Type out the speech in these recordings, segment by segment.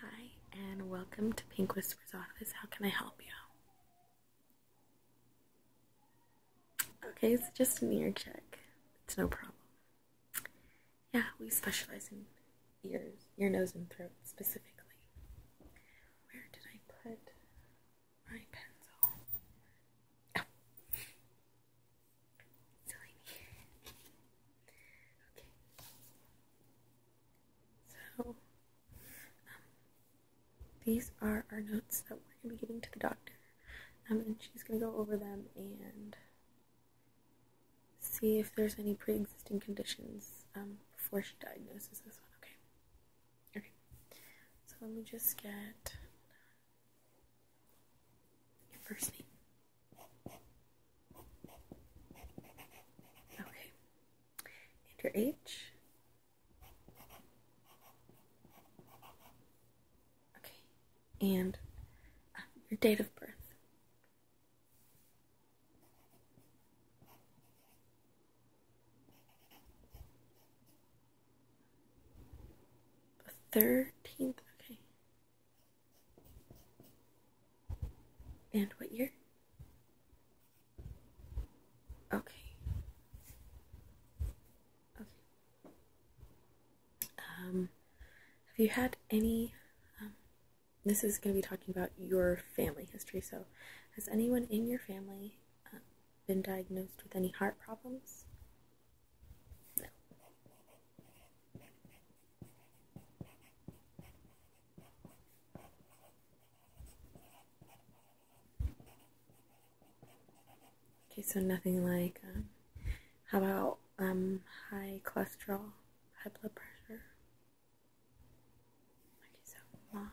Hi, and welcome to Pink Whisper's office. How can I help you? Okay, it's just an ear check. It's no problem. Yeah, we specialize in ears, ear, nose, and throat specifically. Where did I put my pencil? Oh. Okay. So, um, these are our notes that we're going to be giving to the doctor. Um, and she's going to go over them and see if there's any pre existing conditions um, before she diagnoses this one, okay? Okay. So let me just get your first name. Okay. Your age. Okay. And uh, your date of birth. The 13th. Okay. And what year? Okay. Okay. Um, have you had any? Um, this is going to be talking about your family history. So, has anyone in your family uh, been diagnosed with any heart problems? No. Okay, so nothing like, um, how about um, high cholesterol, high blood pressure? Okay, so mom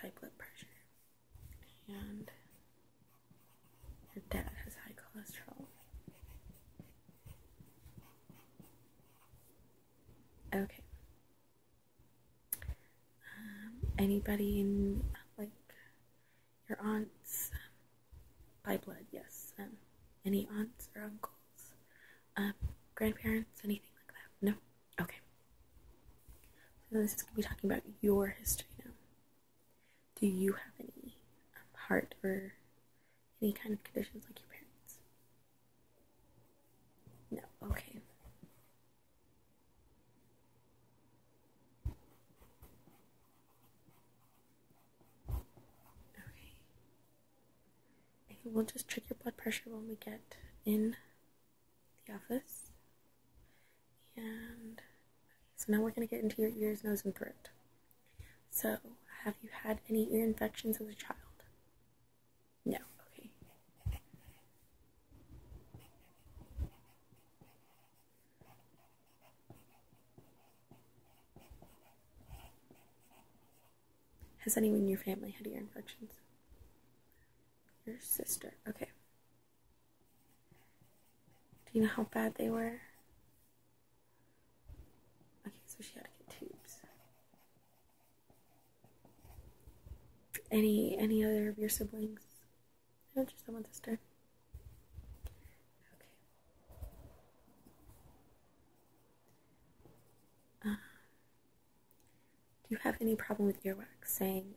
high blood pressure, and your dad has high cholesterol. Okay. Um, anybody in like your aunts by blood? Yes. Um, any aunts or uncles? Um, grandparents? Anything like that? No. Okay. So this is gonna be talking about your history now do you have any um, heart or any kind of conditions like your parents? No, okay. Okay. we'll just check your blood pressure when we get in the office. And so now we're going to get into your ears, nose, and throat. So, have you had any ear infections as a child? No, okay. Has anyone in your family had ear infections? Your sister, okay. Do you know how bad they were? Okay, so she had to get tubes. Any any other of your siblings? No, just the one sister. Okay. Uh, do you have any problem with earwax? Saying,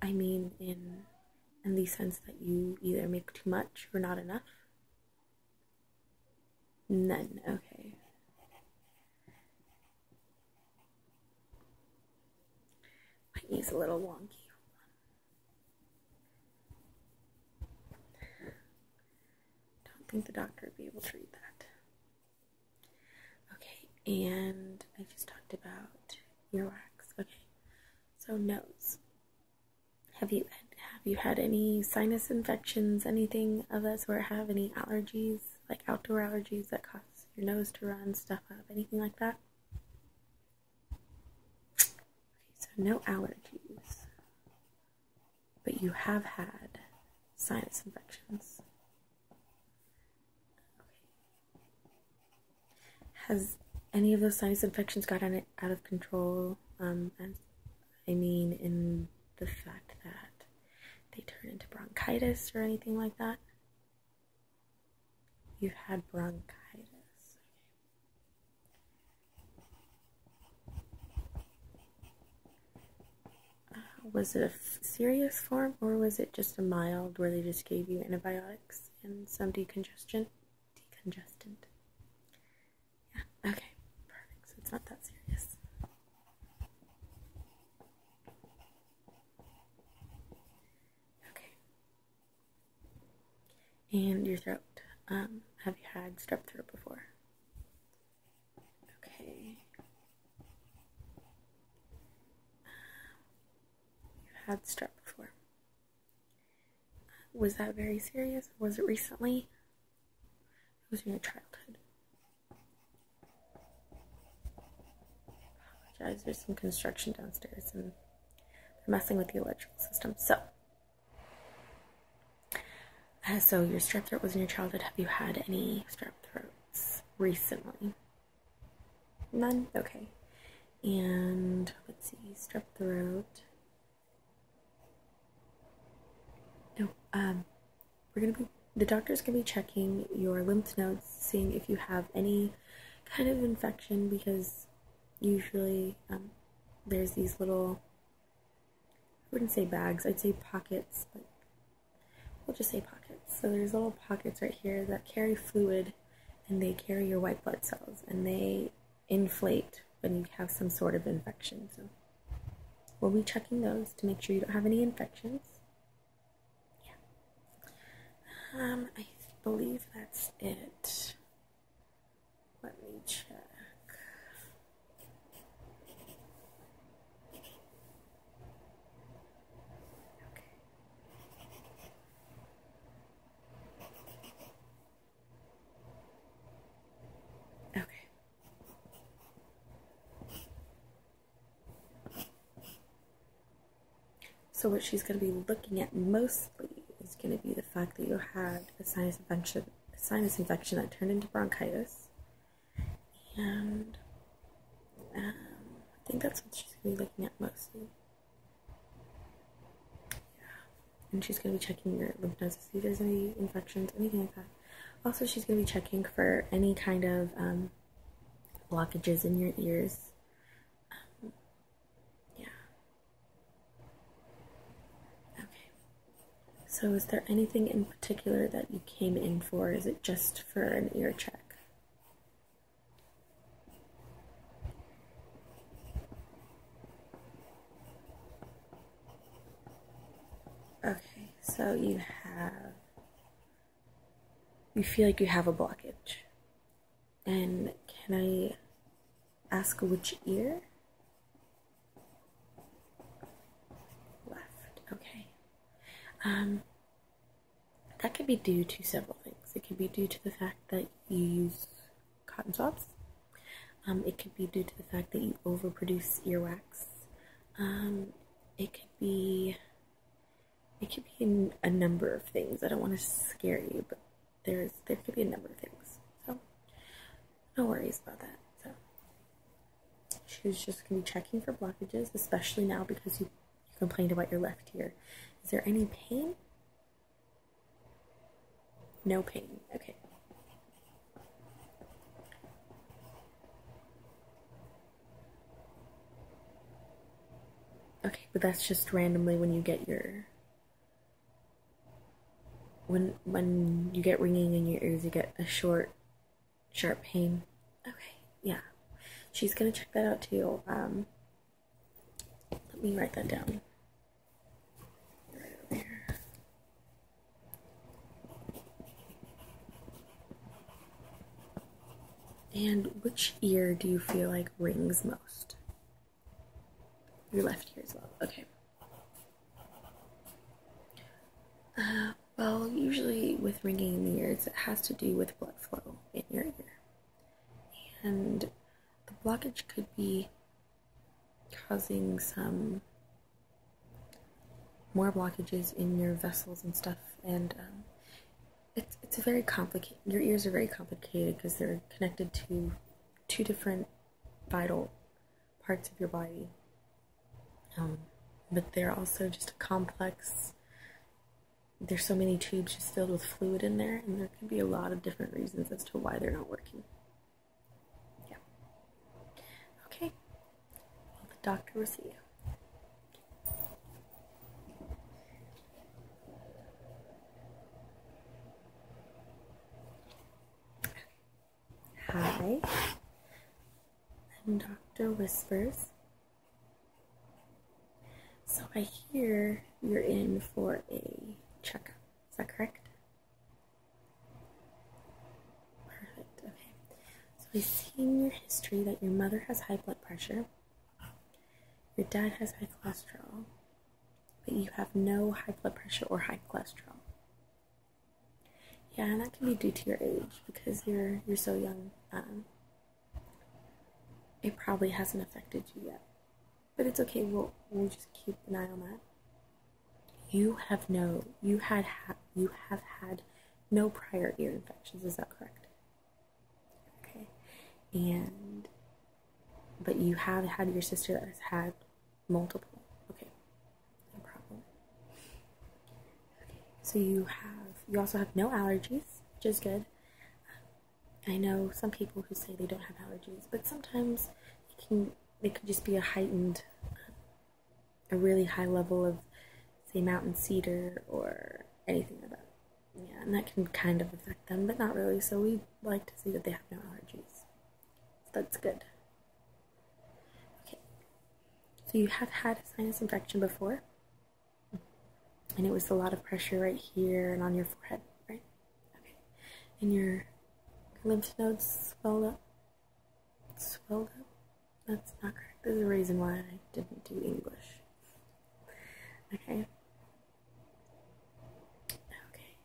I mean, in in the sense that you either make too much or not enough? None. Okay. My knee's a little wonky. Don't think the doctor would be able to read that. Okay, and I just talked about earwax. Okay, so nose. Have you have you had any sinus infections, anything of us where Have any allergies, like outdoor allergies that cause your nose to run, stuff up, anything like that? Okay, so no allergies, but you have had sinus infections. Has any of those sinus infections gotten out of control? Um, I mean, in the fact that they turn into bronchitis or anything like that? You've had bronchitis. Uh, was it a serious form or was it just a mild where they just gave you antibiotics and some decongestant? decongestant. Yeah, okay, perfect. So it's not that serious. Okay. And your throat. Um, have you had strep throat before? Okay. Um, you had strep before. Was that very serious? Was it recently? It was in your childhood. Apologize. There's some construction downstairs and they're messing with the electrical system. So, uh, so your strep throat was in your childhood. Have you had any strep throats recently? None? Okay. And let's see, strep throat. No, um, we're gonna be, the doctor's gonna be checking your lymph nodes, seeing if you have any kind of infection because usually um, there's these little, I wouldn't say bags, I'd say pockets, but we'll just say pockets. So there's little pockets right here that carry fluid and they carry your white blood cells and they inflate when you have some sort of infection. So we'll be checking those to make sure you don't have any infections. Yeah. Um, I believe that's it. Let me check. Okay. Okay. So what she's going to be looking at mostly is going to be the fact that you had a sinus infection, sinus infection that turned into bronchitis, and um, I think that's what she's going to be looking at mostly and she's going to be checking your lymph nodes to see if there's any infections, anything like that. Also, she's going to be checking for any kind of um, blockages in your ears. Um, yeah. Okay. So, is there anything in particular that you came in for? Is it just for an ear check? Okay, so you have, you feel like you have a blockage. And can I ask which ear? Left, okay. Um, that could be due to several things. It could be due to the fact that you use cotton swabs. Um, it could be due to the fact that you overproduce earwax. Um, it could be it could be a number of things. I don't want to scare you, but there's there could be a number of things. So no worries about that. So she's just gonna be checking for blockages, especially now because you you complained about your left ear. Is there any pain? No pain. Okay. Okay, but that's just randomly when you get your when when you get ringing in your ears, you get a short, sharp pain. Okay, yeah, she's gonna check that out too. Um, let me write that down. and which ear do you feel like rings most? Your left ear as well. Okay. Uh, well, usually with ringing in the ears, it has to do with blood flow in your ear and the blockage could be causing some more blockages in your vessels and stuff and um, it's it's very complicated your ears are very complicated because they're connected to two different vital parts of your body um, but they're also just a complex there's so many tubes just filled with fluid in there, and there could be a lot of different reasons as to why they're not working. Yeah. Okay. Well, the doctor will see you. Hi. I'm Dr. Whispers. So I hear you're in for a checkup. Is that correct? Perfect. Okay. So I see in your history that your mother has high blood pressure. Your dad has high cholesterol, but you have no high blood pressure or high cholesterol. Yeah, and that can be due to your age because you're you're so young. Um, it probably hasn't affected you yet. But it's okay, we'll, we just keep an eye on that. You have no, you had, ha you have had no prior ear infections, is that correct? Okay, and, but you have had your sister that has had multiple, okay, no problem. Okay, so you have, you also have no allergies, which is good. I know some people who say they don't have allergies, but sometimes it can they could just be a heightened, a really high level of, say, mountain cedar or anything about, Yeah, and that can kind of affect them, but not really. So we like to see that they have no allergies. that's good. Okay. So you have had a sinus infection before and it was a lot of pressure right here and on your forehead, right? Okay, and your lymph nodes swelled up. Swelled up? That's not correct. There's a reason why I didn't do English. Okay. Okay,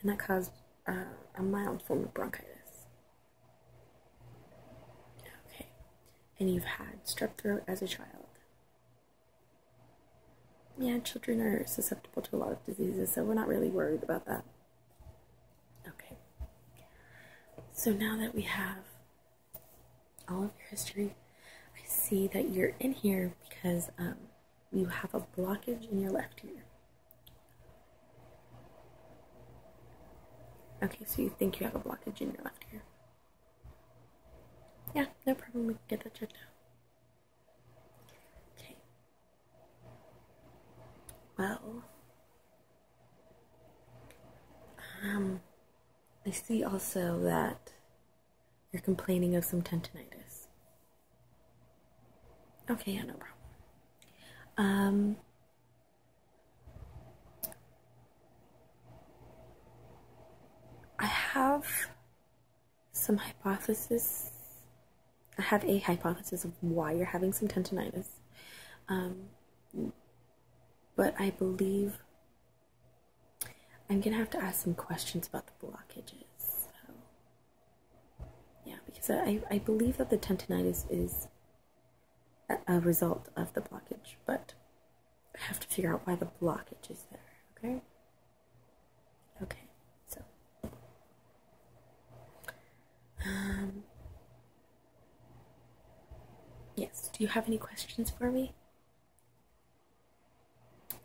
and that caused uh, a mild form of bronchitis. Okay, and you've had strep throat as a child. Yeah, children are susceptible to a lot of diseases, so we're not really worried about that. Okay. So now that we have all of your history, I see that you're in here because um, you have a blockage in your left ear. Okay, so you think you have a blockage in your left ear. Yeah, no problem. We can get that checked out. Okay. Well, um, I see also that you're complaining of some tendinitis. Okay, yeah, no problem. Um, I have some hypotheses. I have a hypothesis of why you're having some tendonitis, um, but I believe I'm gonna have to ask some questions about the blockages. yeah, because I I believe that the tendonitis is a result of the blockage, but I have to figure out why the blockage is there, okay? Okay, so. Um, yes, do you have any questions for me?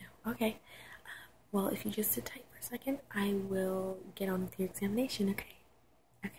No, okay. Um, well, if you just sit tight for a second, I will get on with your examination, okay? Okay.